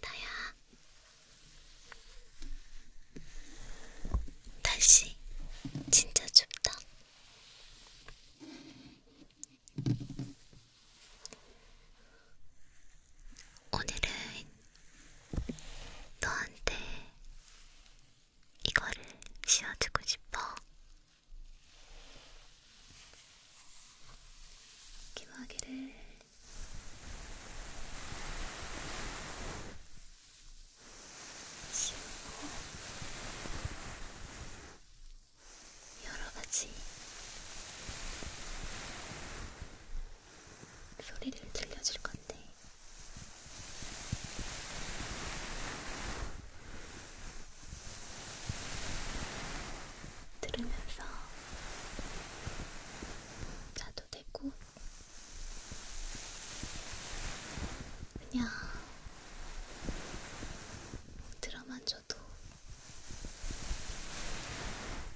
나야 날씨 진짜 춥다. 오늘은 너한테 이거를 씌워주고 싶어. 기막이를 여러 가지 소리를 들려줄 건데. 들으면서 자도 되고 그냥 들어만 줘도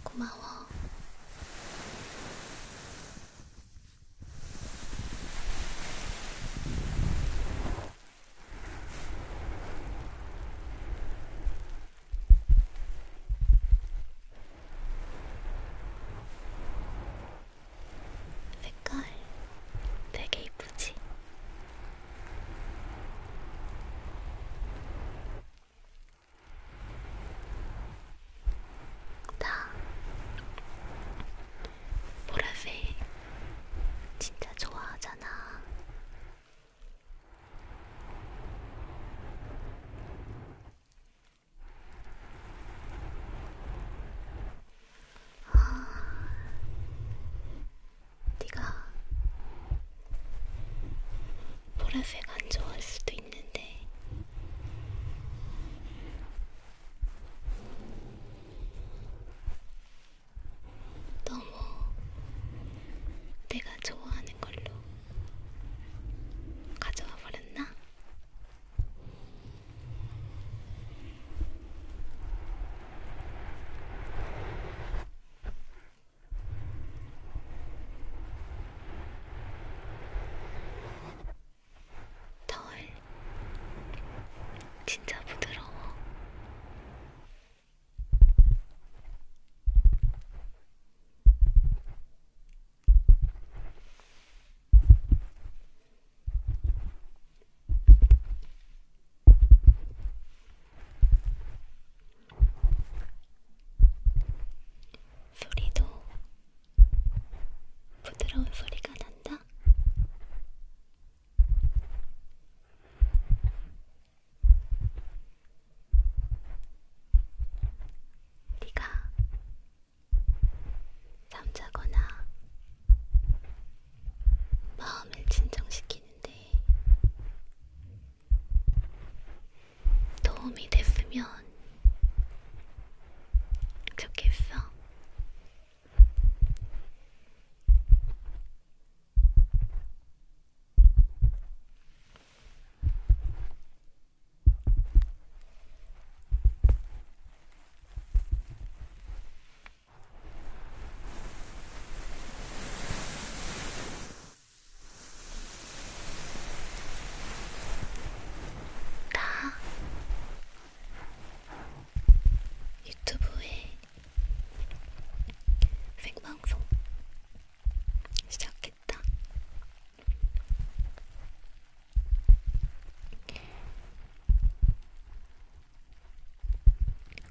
고마워. 색깔 되게 이쁘지? 나 보라색 진짜 좋아하잖아. 네가 보라색 안 좋아할 수도 있는데 너무 내가 좋아하는 걸로 가져와 버렸나? 털 진짜 부드러워. 소리도 부드러운 소리가 난다. 네가 잠자거나 마음을 진정시키는데 도움이 됐으면 좋겠어. 나 유튜브에 생방송 시작했다.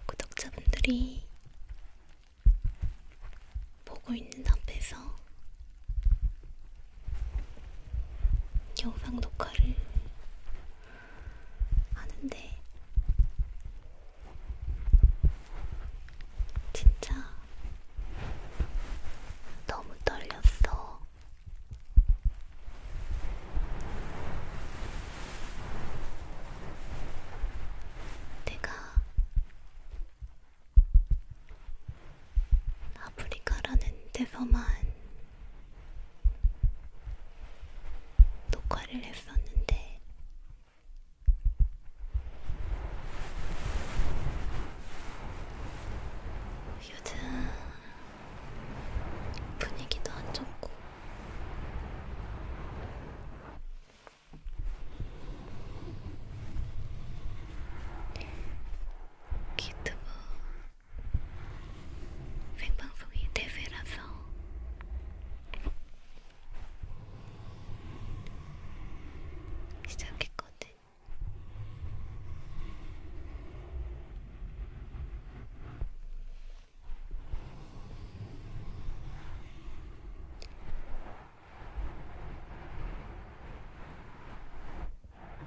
구독자분들이 보고 있는 앞에서 영상 녹화를 하는데 진짜 너무 떨렸어. 내가 아프리카라는 데서만 녹화를 했었는데 요즘 분위기도 안 좋고 기트브 생방송이 대세라서 시작했거든.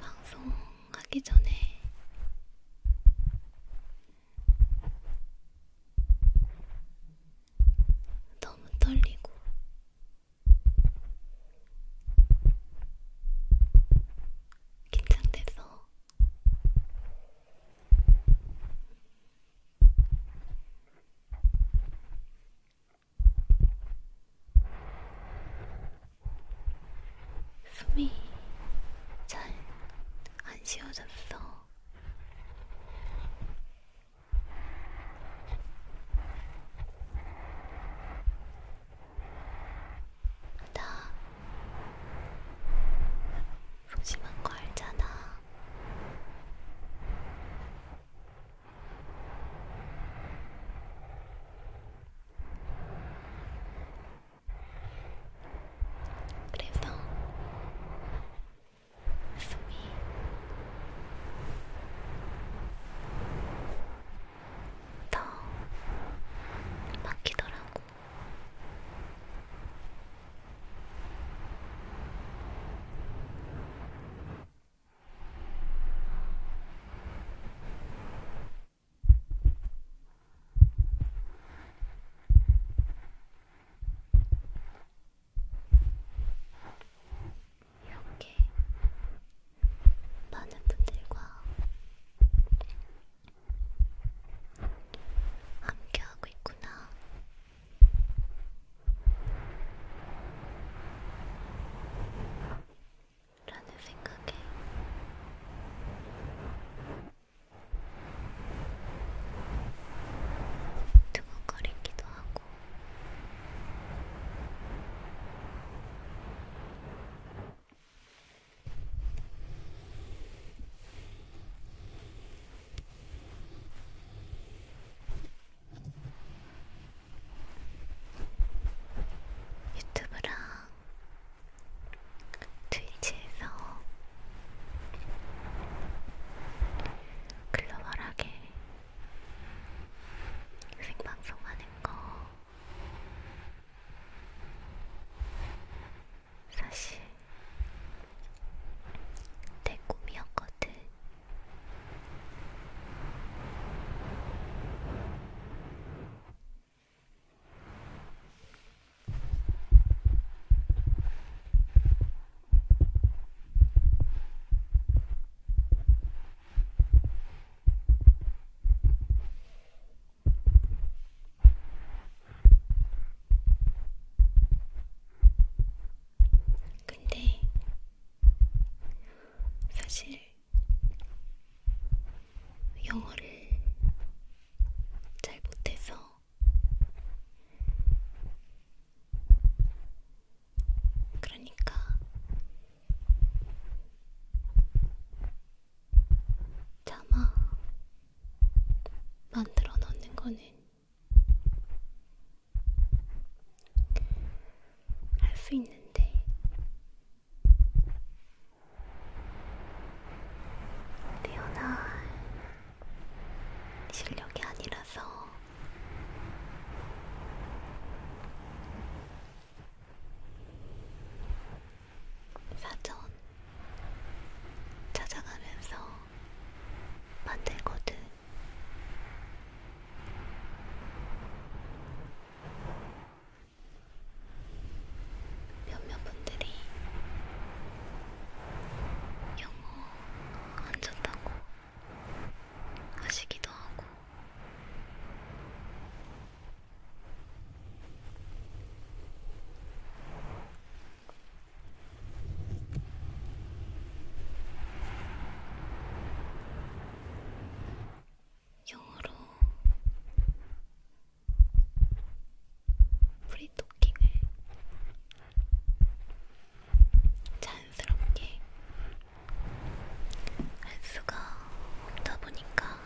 방송하기 전에 너무 떨리고 긴장돼서 숨이 잘 안 쉬어졌어. 나 소심한 거 알잖아. 그래서 더 막히더라고. 이렇게 많은 분들과 함께하고 있구나. 라는 생각에 두근거리기도 싶기도 하고 유튜브랑 트위치에서 글로벌하게 생방송하는 거 사실 내 꿈이었거든. 근데 사실 영어를 잘 못해서 그러니까 자마 만들어 놓는 거는 할 수 있는데 태어날 실력이 아니라서 사전 찾아가면서 만들거든. 몇몇 분들이 영어 안 좋다고 하시기도 하고 영어로 프리토킹을 자연스럽게 할 수가 없다 보니까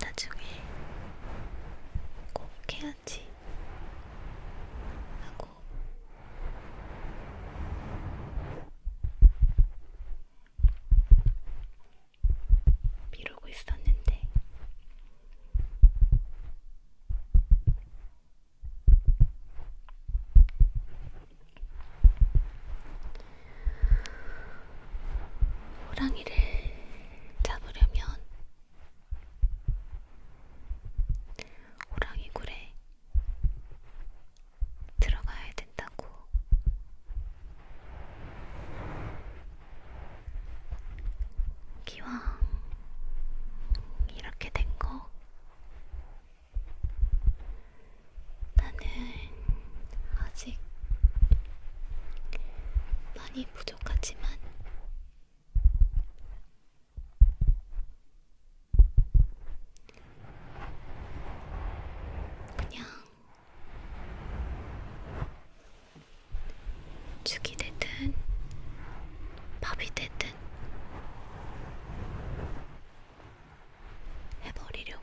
나중에 꼭 해야지 하고 미루고 있었는데 호랑이를 잡으려면 호랑이 굴에 들어가야 된다고 기왕 이렇게 된 거 나는 아직 많이 부족하지만 그냥 죽이 되든 밥이 되든 해버리려고.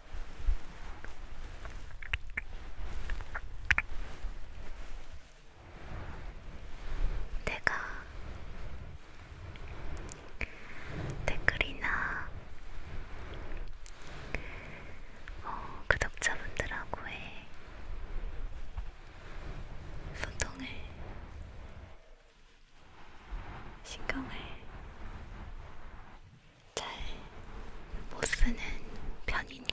내가 댓글이나 어, 구독자분들하고의 소통을 신경을 잘못 쓰는 편이니까.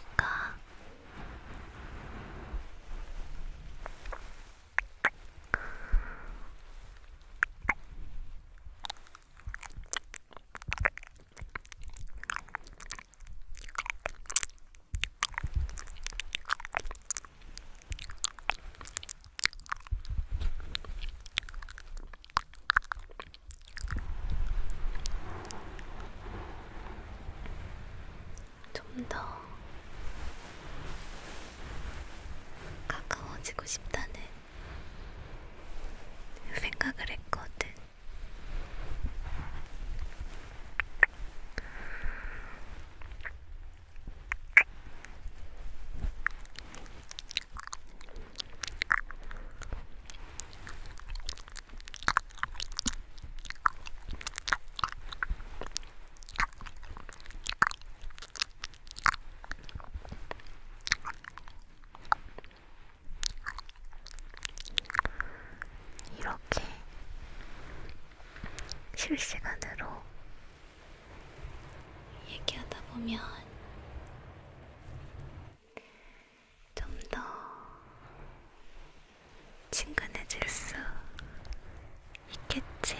좀더 가까워지고 싶다는 생각을 했거든. 이렇게 실시간으로 얘기하다 보면 좀더 친근해질 수 있겠지?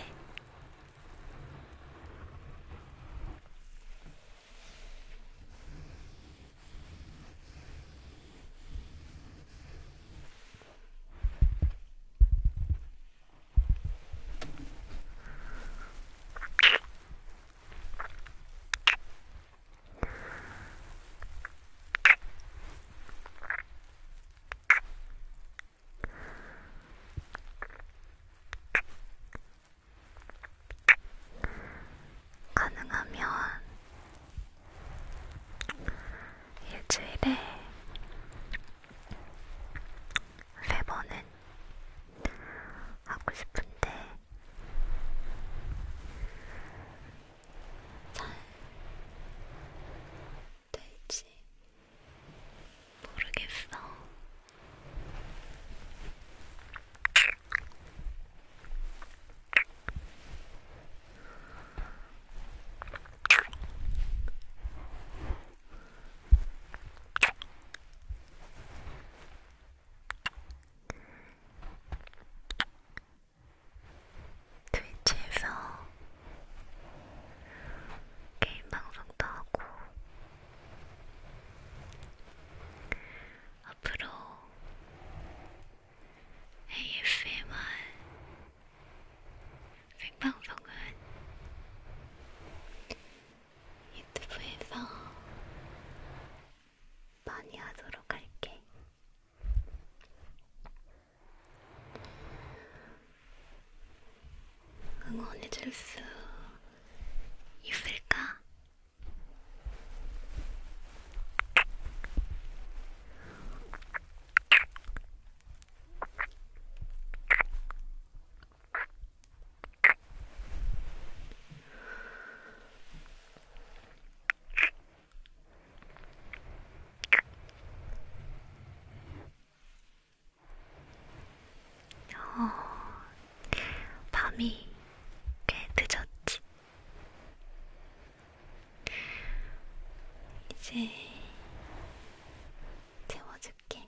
가능하면 일주일에 세 번은 하고 싶은데 잘 될지 모르겠어. 트위치에서 게임 방송도 하고 앞으로 ASMR 생방송은 유튜브에서 많이 하도록 할게. 응원해줄 수 있을까? 어, 밤이 꽤 늦었지. 이제 재워줄게.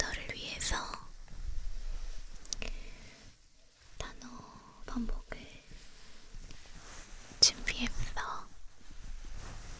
너를 위해서 단어 반복을 준비했어.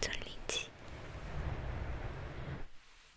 졸리지?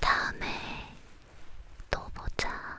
다음에 또 보자.